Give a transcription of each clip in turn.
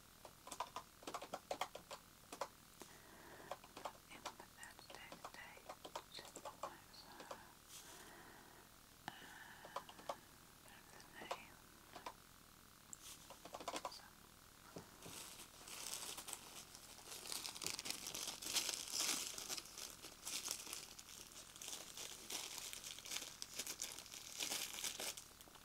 in the Thursday date, like so, and the name, so. Right.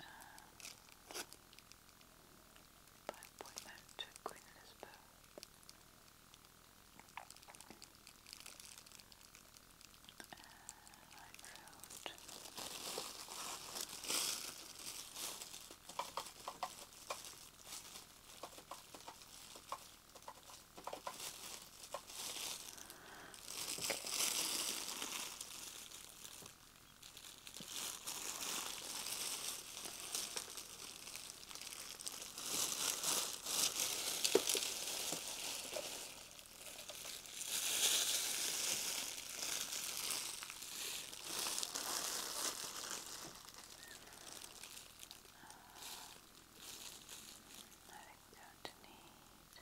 Um, by appointment to Queen Elizabeth. Uh, I wrote I don't need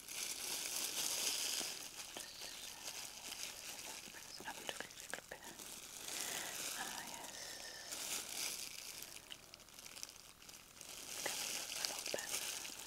Just up a little, little bit. Ah, yes. Coming up a lot better. Just into that. Just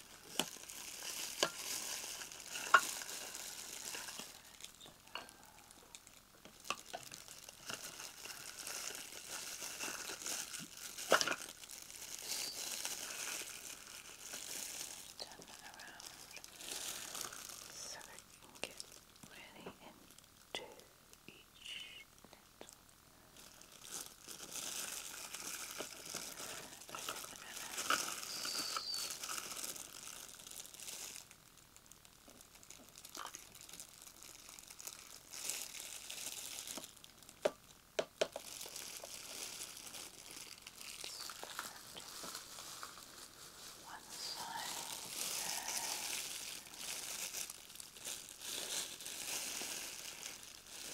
Turn that around so it can get really into each nettle. I think the one side.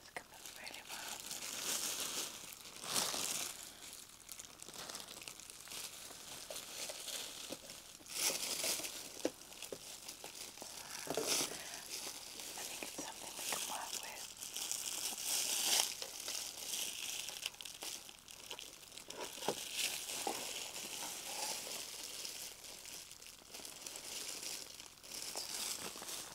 It's coming really well. I think it's something we can work with. Um,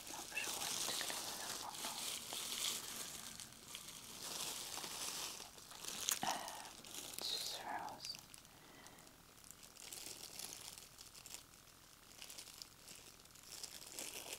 not sure what to do with that one. Um, it's just froze. Okay.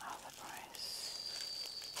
Olive rice. Price. So,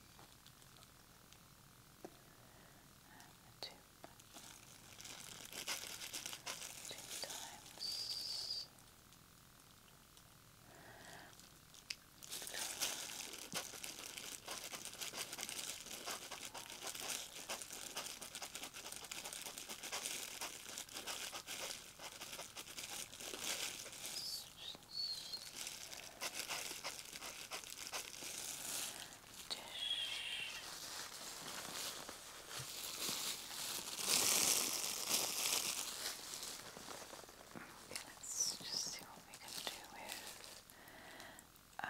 and two, two times Okay, let's just see what we can do with. Um,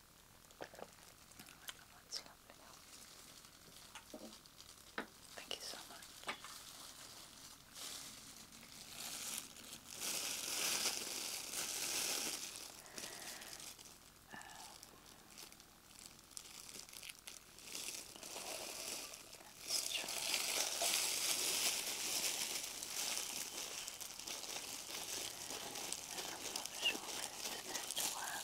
Thank you so much. Um, I'm not sure whether this is natural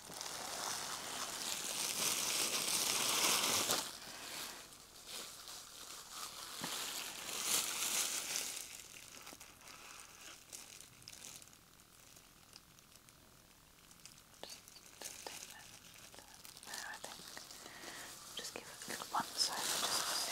I think. Just give it a good one side just to see. Okay.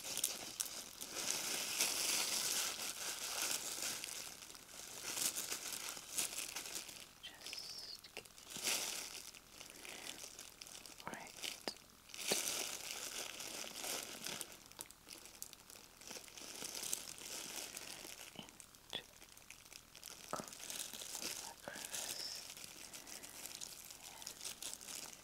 Just right. Into of the crevice. Yes.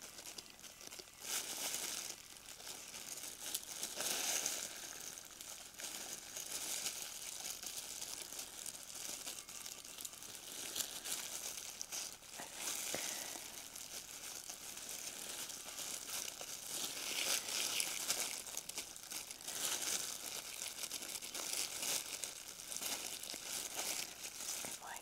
I'm going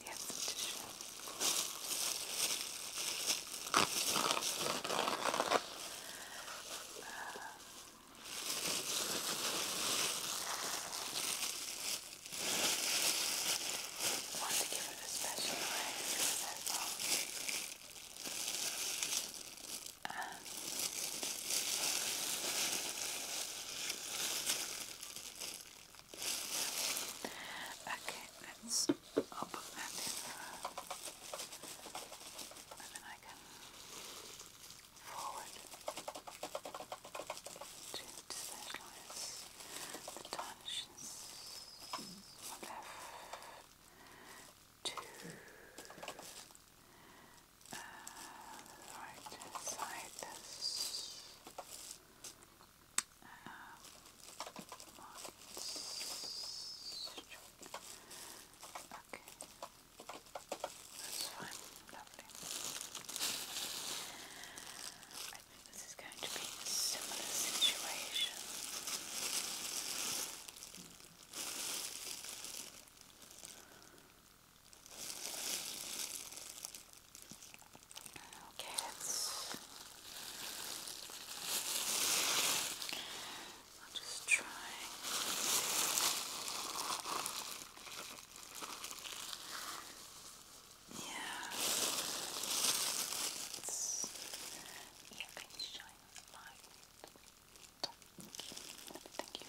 Yes, tissue. Um, want to give it a special raise because that's all. And Okay, let's. i And then I can forward to visualize the dimensions left to uh, right side. Um, okay. That's fine. Lovely. I this is going to be a similar situation. Okay, let's. I'll just try. Yeah. It's, yeah, can you shine the light? Thank you. Thank you.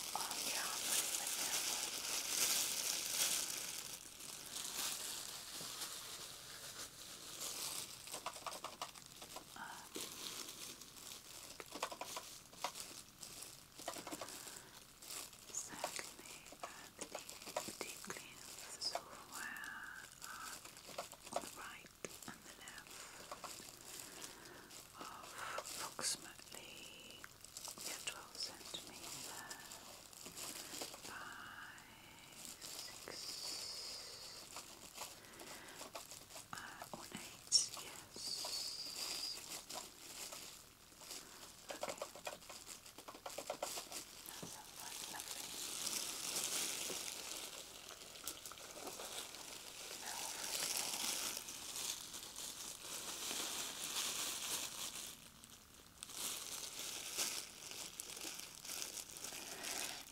on camera secondly, uh, the deep, on the right and the left of approximately yeah, 12 centimeter by 6 uh, on 8, yes. Okay. That sounds like lovely. Now,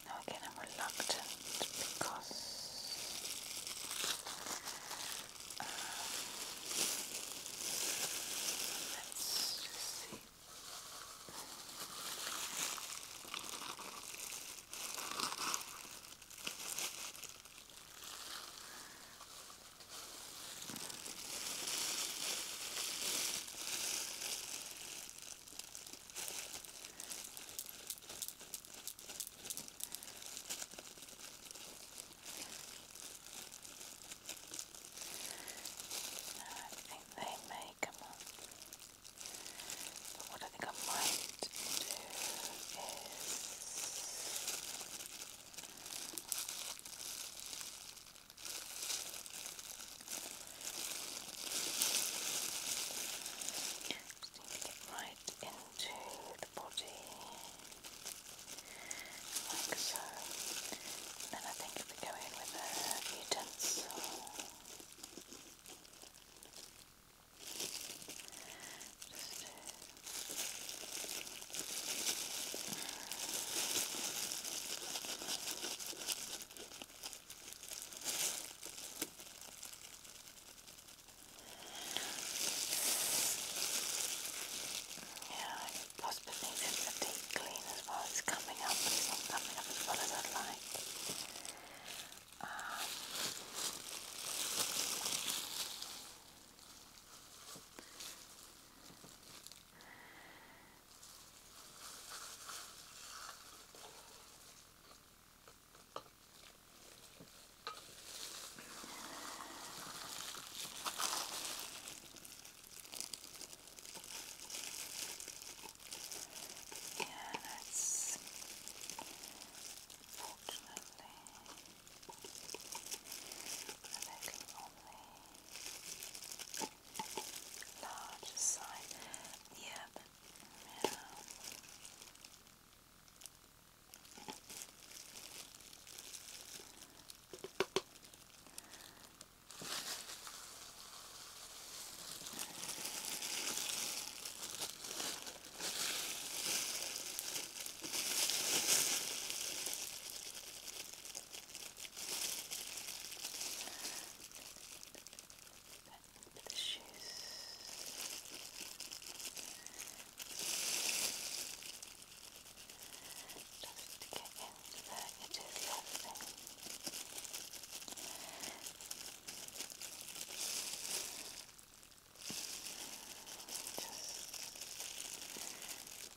now again, I'm reluctant because um, let's just see. No, I think they may come on. But what I think I might do is just need to get right into the body, like so. And then I think if we go in with a utensil. Yeah, I possibly need it for deep clean as well. It's coming up, it's coming up as well as I'd like. Um, yeah, that's fortunately Looking on the larger side. Yeah, but yeah. Right. The shoes. Just to get into that, it is lovely. Just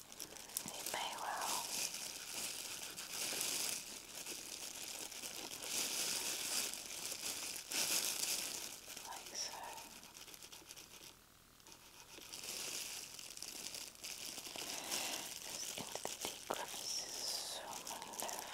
It may well. Like so. Just into the deep crevices the left,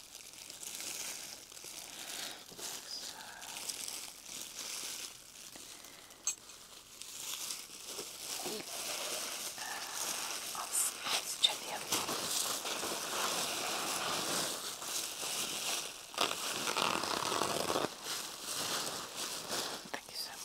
So. Uh, I'll check the other one. Thank you so much.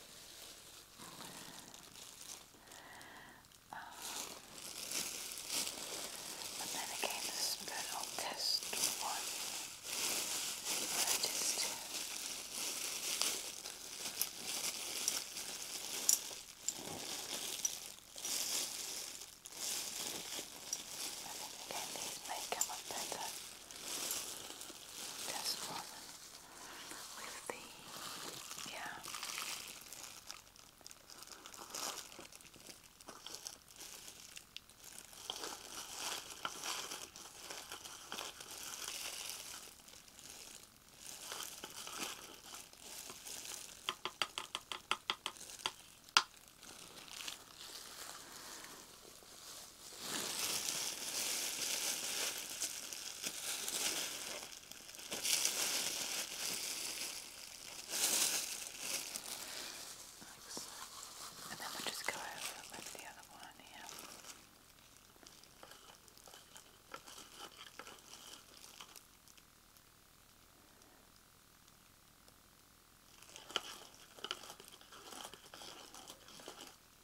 Um, and then again, the spinal test one. I just I think again these may come up better. Just frozen with the yeah. Excellent. And then we'll just go over with the other one here. Okay.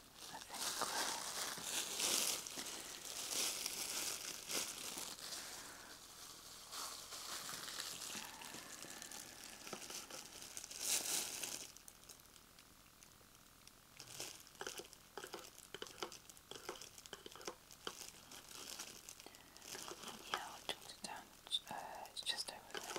I think yeah, I'll jot it down. it's just over there.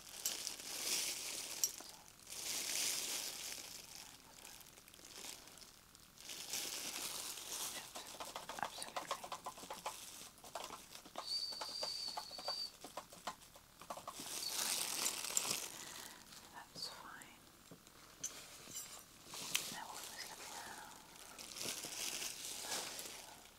That's fine. Now we'll just look around.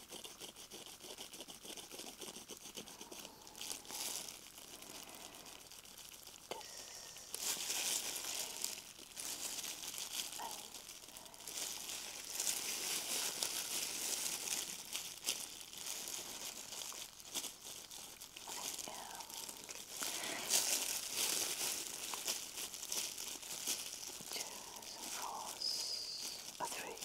Choose and force a three.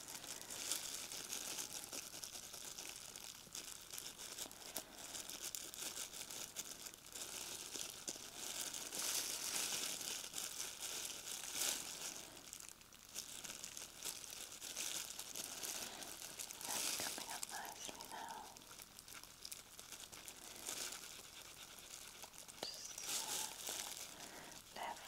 That's coming up nicely now. Just left,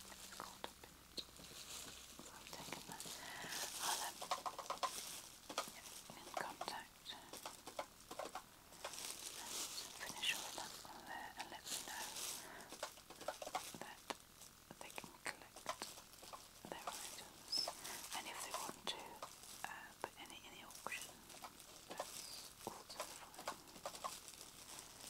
ten minutes, in contact finish all that on there and let me know that they can collect their items. And if they want to put any in the